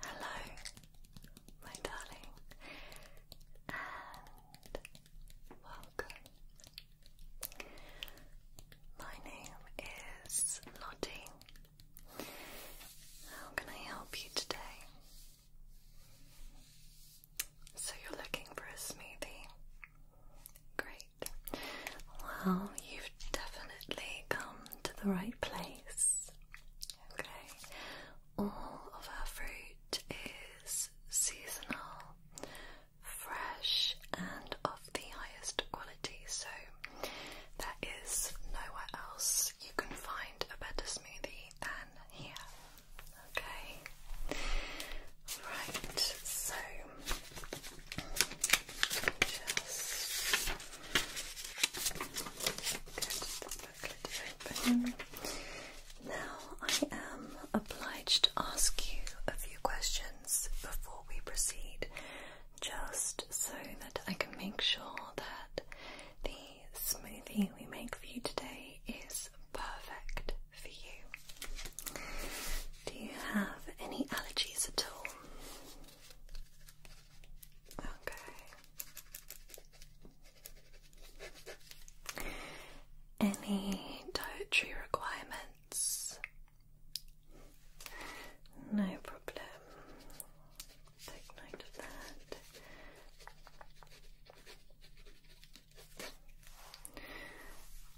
Hello, my darling, and welcome. My name is Lottie, how can I help you today? So you're looking for a smoothie? Great. Well, you've definitely come to the right place. Okay. All of our fruit is seasonal, fresh, and of the highest quality, so there is nowhere else you can find a better smoothie than here. Okay. Right. So just get the booklet open. Now I am obliged to ask you a few questions before we proceed. Just so that I can make sure that the smoothie we make for you today is perfect for you. Do you have any allergies at all? Okay. Any dietary requirements? No problem.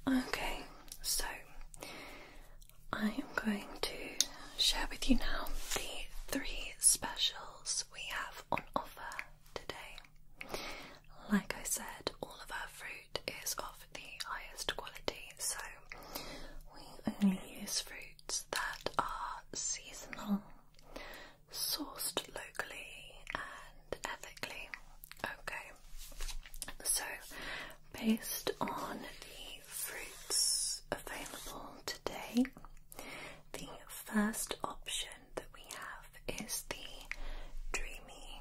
Okay, so I am going to share with you now the three specials we have on offer today. Like I said, all of our fruit is of the highest quality, so we only use fruit that are seasonal, sourced locally and ethically. Okay, so based on the fruits available today, the first option that we have is the Dreamy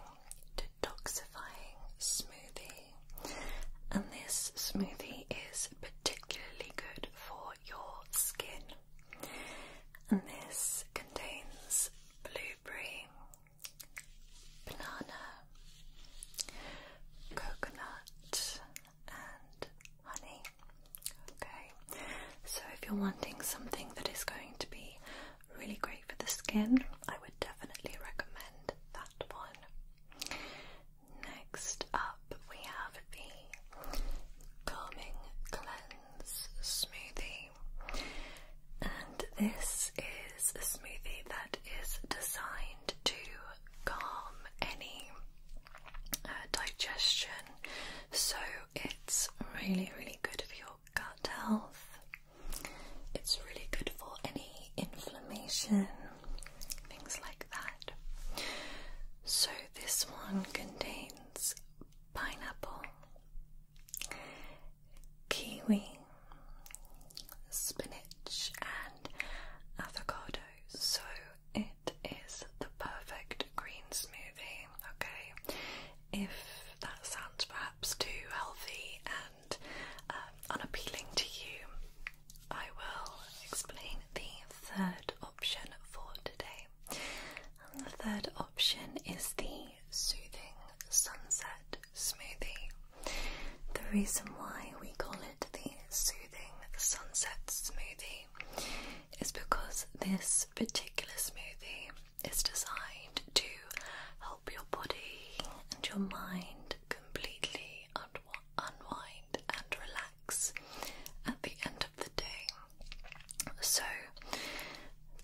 Detoxifying Smoothie. And this smoothie is particularly good for your skin. And this contains blueberry, banana, coconut, and honey. Okay, so if you're wanting something that is going to be really great for the skin, I would definitely recommend that one. Next up, we have the Calming Cleanse Smoothie, and this is a smoothie that is designed to calm any uh, digestion, so it's really, really good for your gut health. It's really good for any inflammation things like that. So, this one contains pineapple, kiwi, spinach, and avocado. So, it is the perfect green smoothie, okay? If that sounds perhaps too healthy and um, unappealing to you, I will explain the third option for today. the third option is the Soothing Sunset Smoothie. The reason why we call it the Soothing Sunset Smoothie is because this particular smoothie is designed to help your body and your mind completely unwind and relax at the end of the day. So,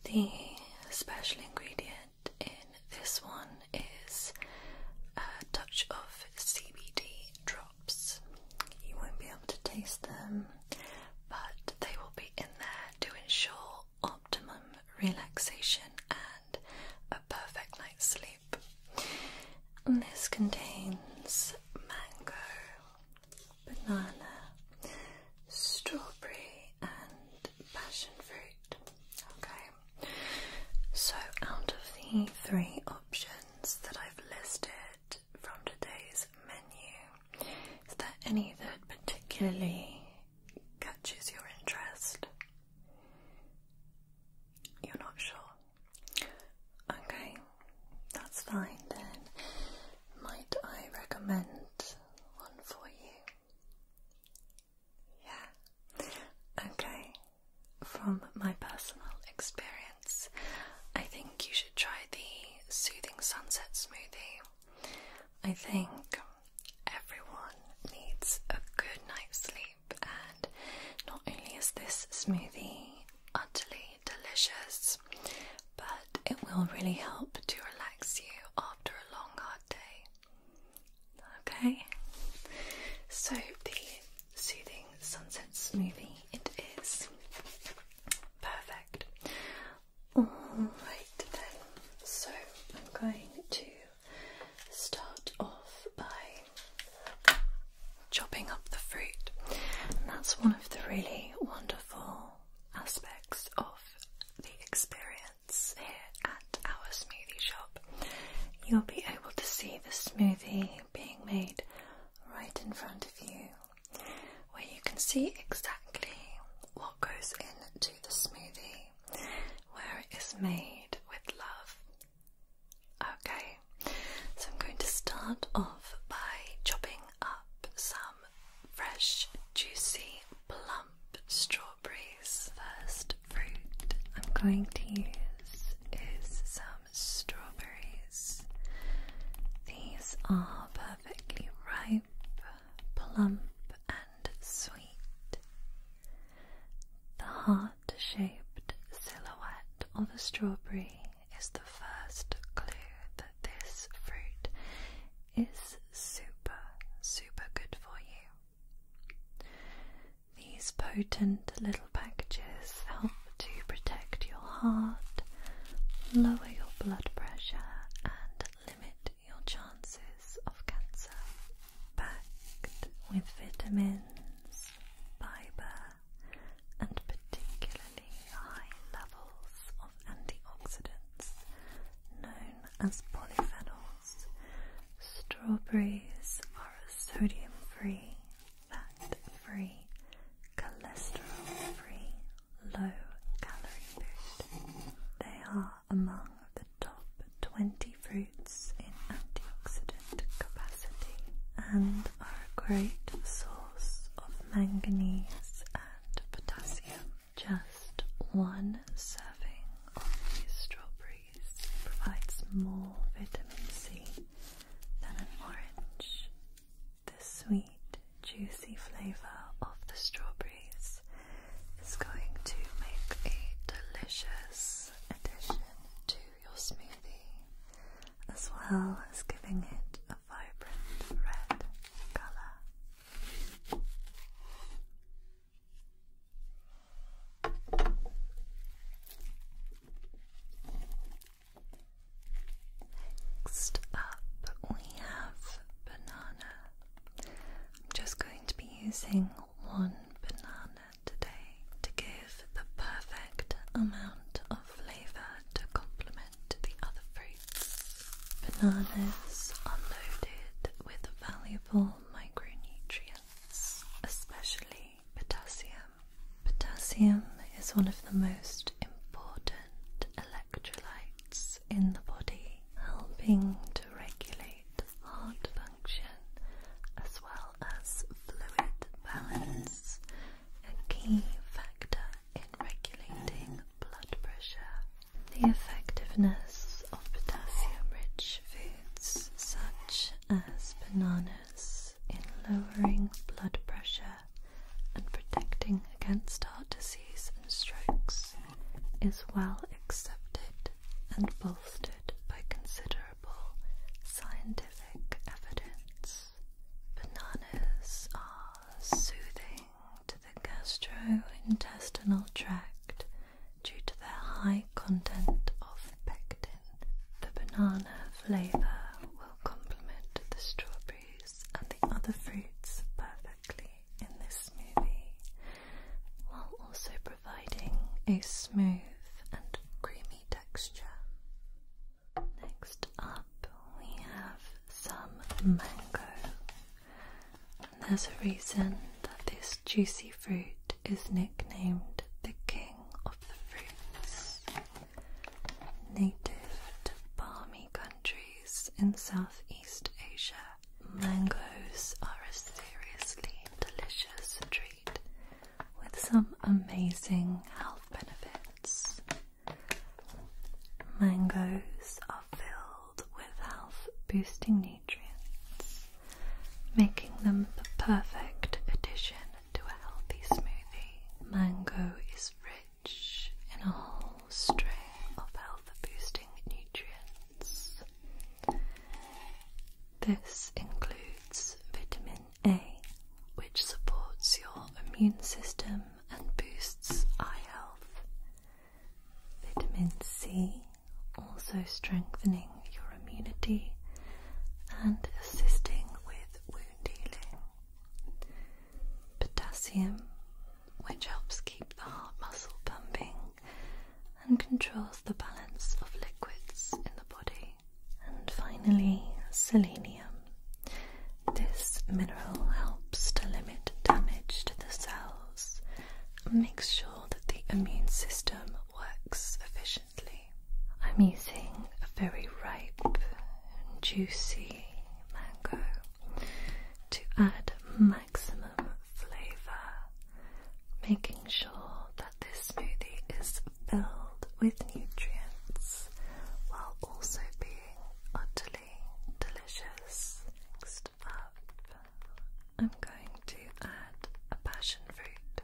the special ingredient in this one is a touch of CBD drops. You won't be able to taste them, but they will be in there to ensure optimum relaxation and a perfect night's sleep. And this contains mango, banana, strawberry, and passion fruit. Okay, so out of the three options that I've listed from today's menu, is there any that particularly catches your interest? You're not sure? Okay, that's fine then. Might I recommend one for you? Yeah. Okay. From my personal experience, I think you should try the Soothing Sunset Smoothie. I think everyone needs a good night's sleep and not only is this smoothie utterly delicious, but it will really help to relax you after a long, hard day. Okay, so the soothing sunset smoothie it is perfect. Alright, then, so I'm going to start off by chopping up the fruit. that's one of the really wonderful aspects of the experience here at our smoothie shop. You'll be able to see the smoothie being made right in front of you, where you can see exactly what goes into the smoothie, where it is made with love Okay, so I'm going to start off by chopping up some fresh, juicy, plump strawberries. First fruit I'm going to use is some strawberries. These are perfectly ripe, plump, and sweet. The heart the shaped silhouette of the strawberry is the first clue that this fruit is super, super good for you. These potent little packages help to protect your heart, lower your blood pressure, and limit your chances of cancer. Packed with vitamins, fiber, and particularly high levels of antioxidants known as polyphenols. Strawberries are a sodium free, fat free, cholesterol free, low calorie food. They are among the top 20 fruits in antioxidant capacity and are a great source of manganese and potassium. Just one serving of these strawberries provides more vitamin C than an orange. The sweet, juicy flavour of the strawberries is going to make a delicious addition to your smoothie, as well as giving it a vibrant red colour. Next up, we have banana. I'm just going to be using one banana today to give the perfect amount of flavour to complement the other fruits. Bananas are loaded with valuable micronutrients, especially potassium. Potassium is one of the most important electrolytes in the body, helping to regulate heart function as well as fluid balance, a key factor in regulating blood pressure. The effectiveness of potassium rich foods, such as bananas, in lowering blood pressure and protecting against heart disease and strokes, is well accepted and bolstered by considerable scientific evidence. Bananas are soothing to the gastrointestinal tract due to their high content of pectin. The banana flavour will complement the strawberries and the other fruits perfectly in this smoothie, while also providing a smooth and creamy texture. Next up, we have some mango. And there's a reason that this juicy fruit is nicknamed the king of the fruits. Native to balmy countries in Southeast Asia, mangoes are a seriously delicious treat with some amazing health benefits. Mangoes are filled with health boosting nutrients, making them the perfect addition to a healthy smoothie. Mango is rich in a whole string of health boosting nutrients. This includes vitamin a, which supports your immune system and boosts eye health. Vitamin C, also strengthening your immunity and assisting with wound healing. Potassium, which helps keep the heart muscle pumping and controls the balance of liquids in the body. And finally, selenium. This mineral helps to limit damage to the cells and makes sure that the immune system works efficiently. I'm using a very ripe and juicy mango to add maximum flavour, making sure that this smoothie is filled with nutrients while also being utterly delicious. Next up, I'm going to add a passion fruit.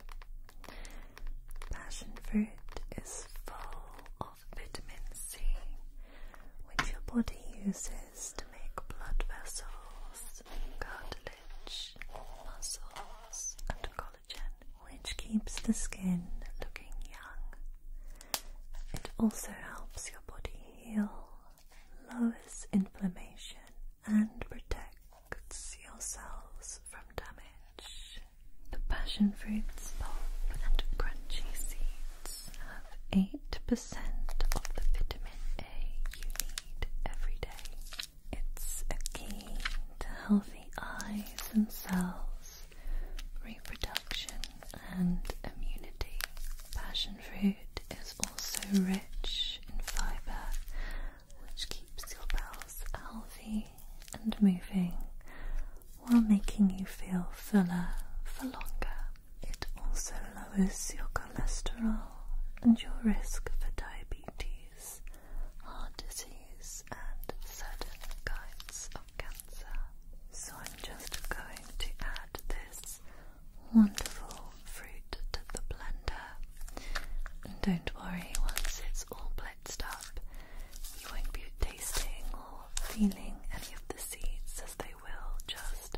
Passion fruit is full of vitamin C, which your body uses to make blood vessels, cartilage, muscles, and which keeps the skin looking young. It also helps your body heal, lowers inflammation, and protects your cells from damage. The passion fruit's pulp and crunchy seeds have 8% of the vitamin A you need every day. It's a key to healthy eyes and cells, reproduction and immunity. Passion fruit is also rich in fibre, which keeps your bowels healthy and moving while making you feel fuller for longer. It also lowers your cholesterol and your risk for diabetes heart disease, and certain kinds of cancer. So I'm just going to add this wonderful fruit to the blender. And don't worry, once it's all blitzed up, you won't be tasting or feeling any of the seeds as they will just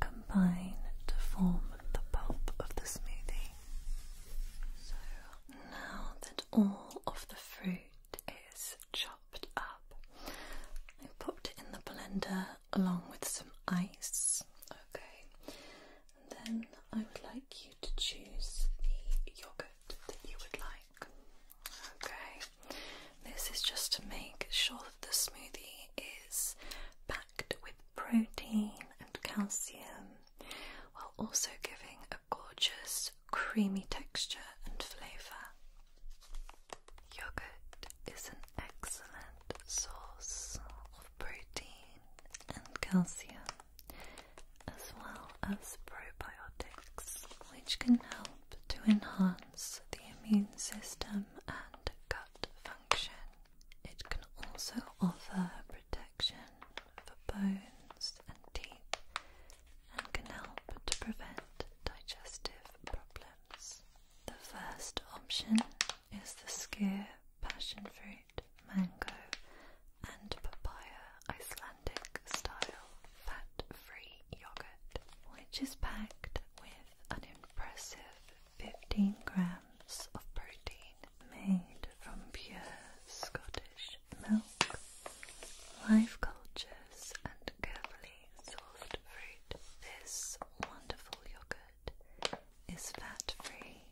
combine to form the pulp of the smoothie. So now that all of the fruit is chopped up. I popped it in the blender along with some ice. Okay, and then I would like you to choose the yogurt that you would like. Okay, this is just to make sure that the smoothie is packed with protein and calcium while also giving a gorgeous, creamy texture and flavour. Yogurt is an excellent source of protein and calcium, as well as probiotics, which can help to enhance the immune system and gut function. It can also offer protection for bones and teeth and can help to prevent digestive problems. The first option is the skyr, passion fruit, mango, and papaya Icelandic style fat free yogurt, which is packed with an impressive 15 grams of protein made from pure Scottish milk, live cultures, and carefully sourced fruit. This wonderful yogurt is fat free,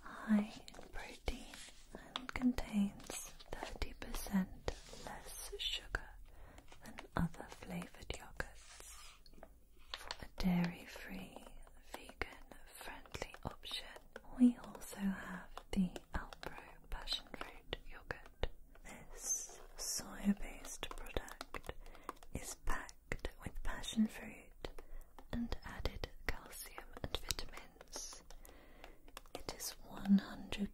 high in protein, and contains 30% less sugar than other flavored yogurts. a dairy free, vegan friendly option, we also have the Alpro passion fruit yogurt. This soy based product is packed with passion fruit and added calcium and vitamins. It is 100%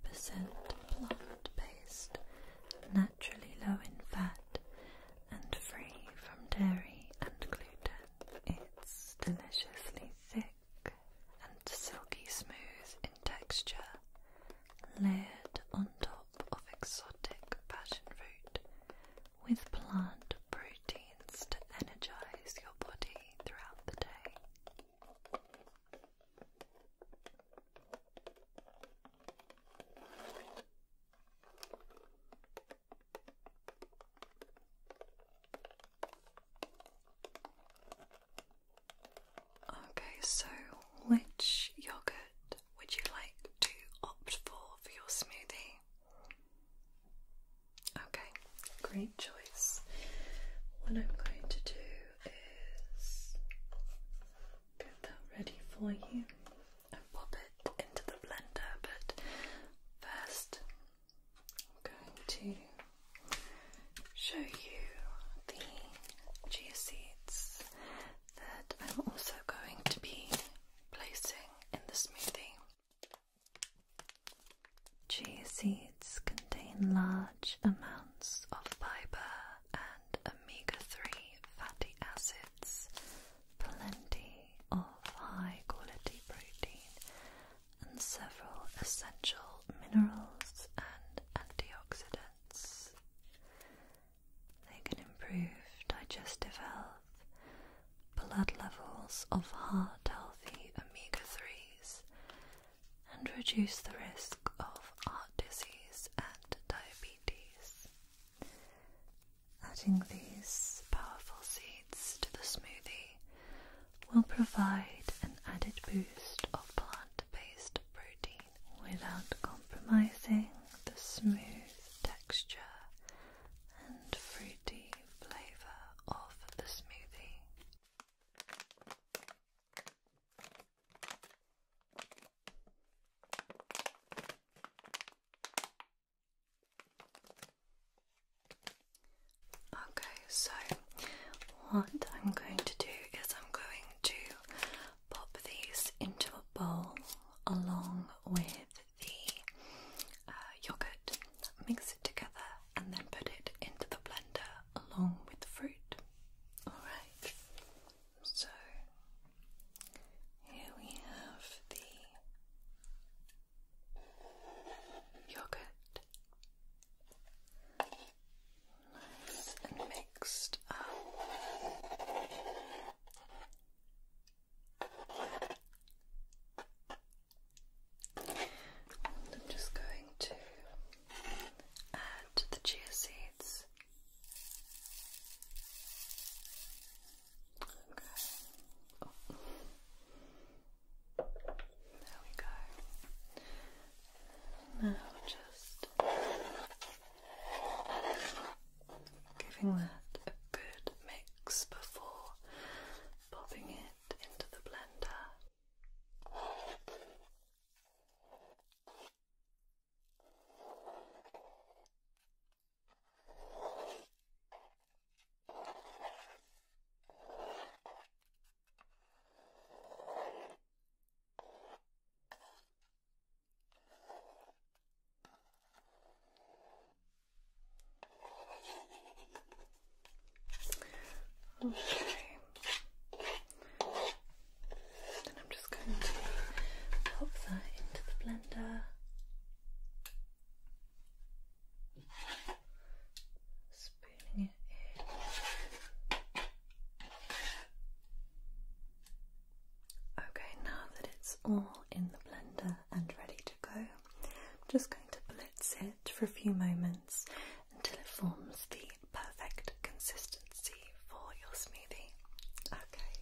plant-based, naturally low in fat, and free from dairy and gluten. It's deliciously thick and silky smooth in texture, layered on top of exotic passion fruit with plant proteins to energize your body throughout the day. Okay, so which yogurt would you like to opt for for your smoothie? Okay, great choice. What I'm going to do is get that ready for you and pop it into the blender, but first I'm going to show you the chia seeds that I'm also going to be placing in the smoothie. Chia seeds contain large amounts of fiber and omega 3 fatty acids, plenty of high quality protein, and several essential minerals and antioxidants. They can improve digestive health, blood levels of heart healthy omega 3s, and reduce the risk of heart disease and diabetes. Adding these powerful seeds to the smoothie will provide an added boost of plant-based protein without compromising the smooth texture and fruity flavor of the smoothie. Okay, so what I'm going to do is I'm going to pop these into a bowl along with the uh, yogurt, mix it together, and then put it into the blender along with the fruit. Alright, so here we have the yogurt. Nice and mixed up. I'm just going to add the chia seeds. Okay. There we go. Now just giving that a good mix before popping it into the blender. Okay. Then I'm just going to pop that into the blender. Okay, now that it's all in the blender and ready to go, I'm just going to blitz it for a few moments until it forms the perfect consistency for your smoothie. Okay.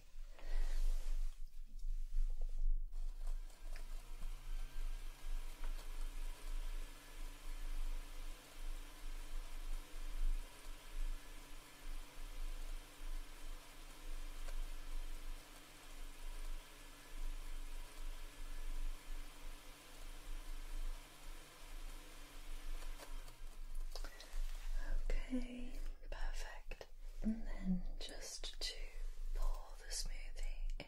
Okay, perfect. And then just to pour the smoothie in.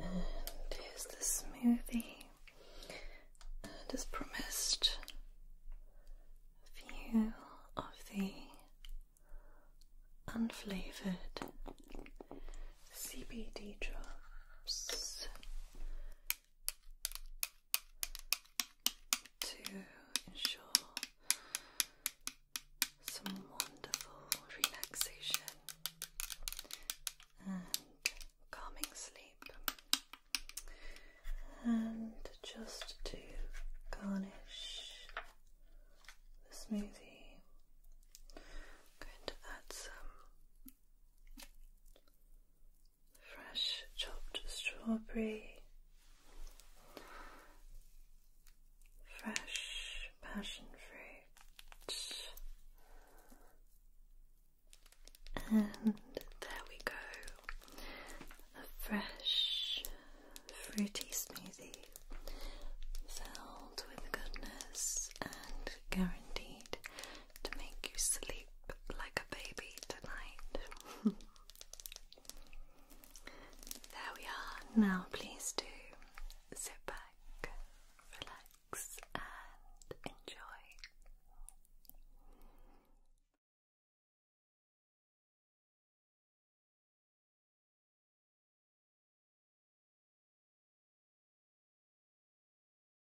And here's the smoothie, and as promised, a few of the unflavored CBD drops to ensure some wonderful relaxation and calming sleep, and just to garnish the smoothie, going to add some fresh chopped strawberry, fresh passion fruit, and there we go a fresh fruity smoothie filled with goodness and guaranteed to make you sleep like a baby tonight. there we are. Now, please do sit back, relax, and enjoy.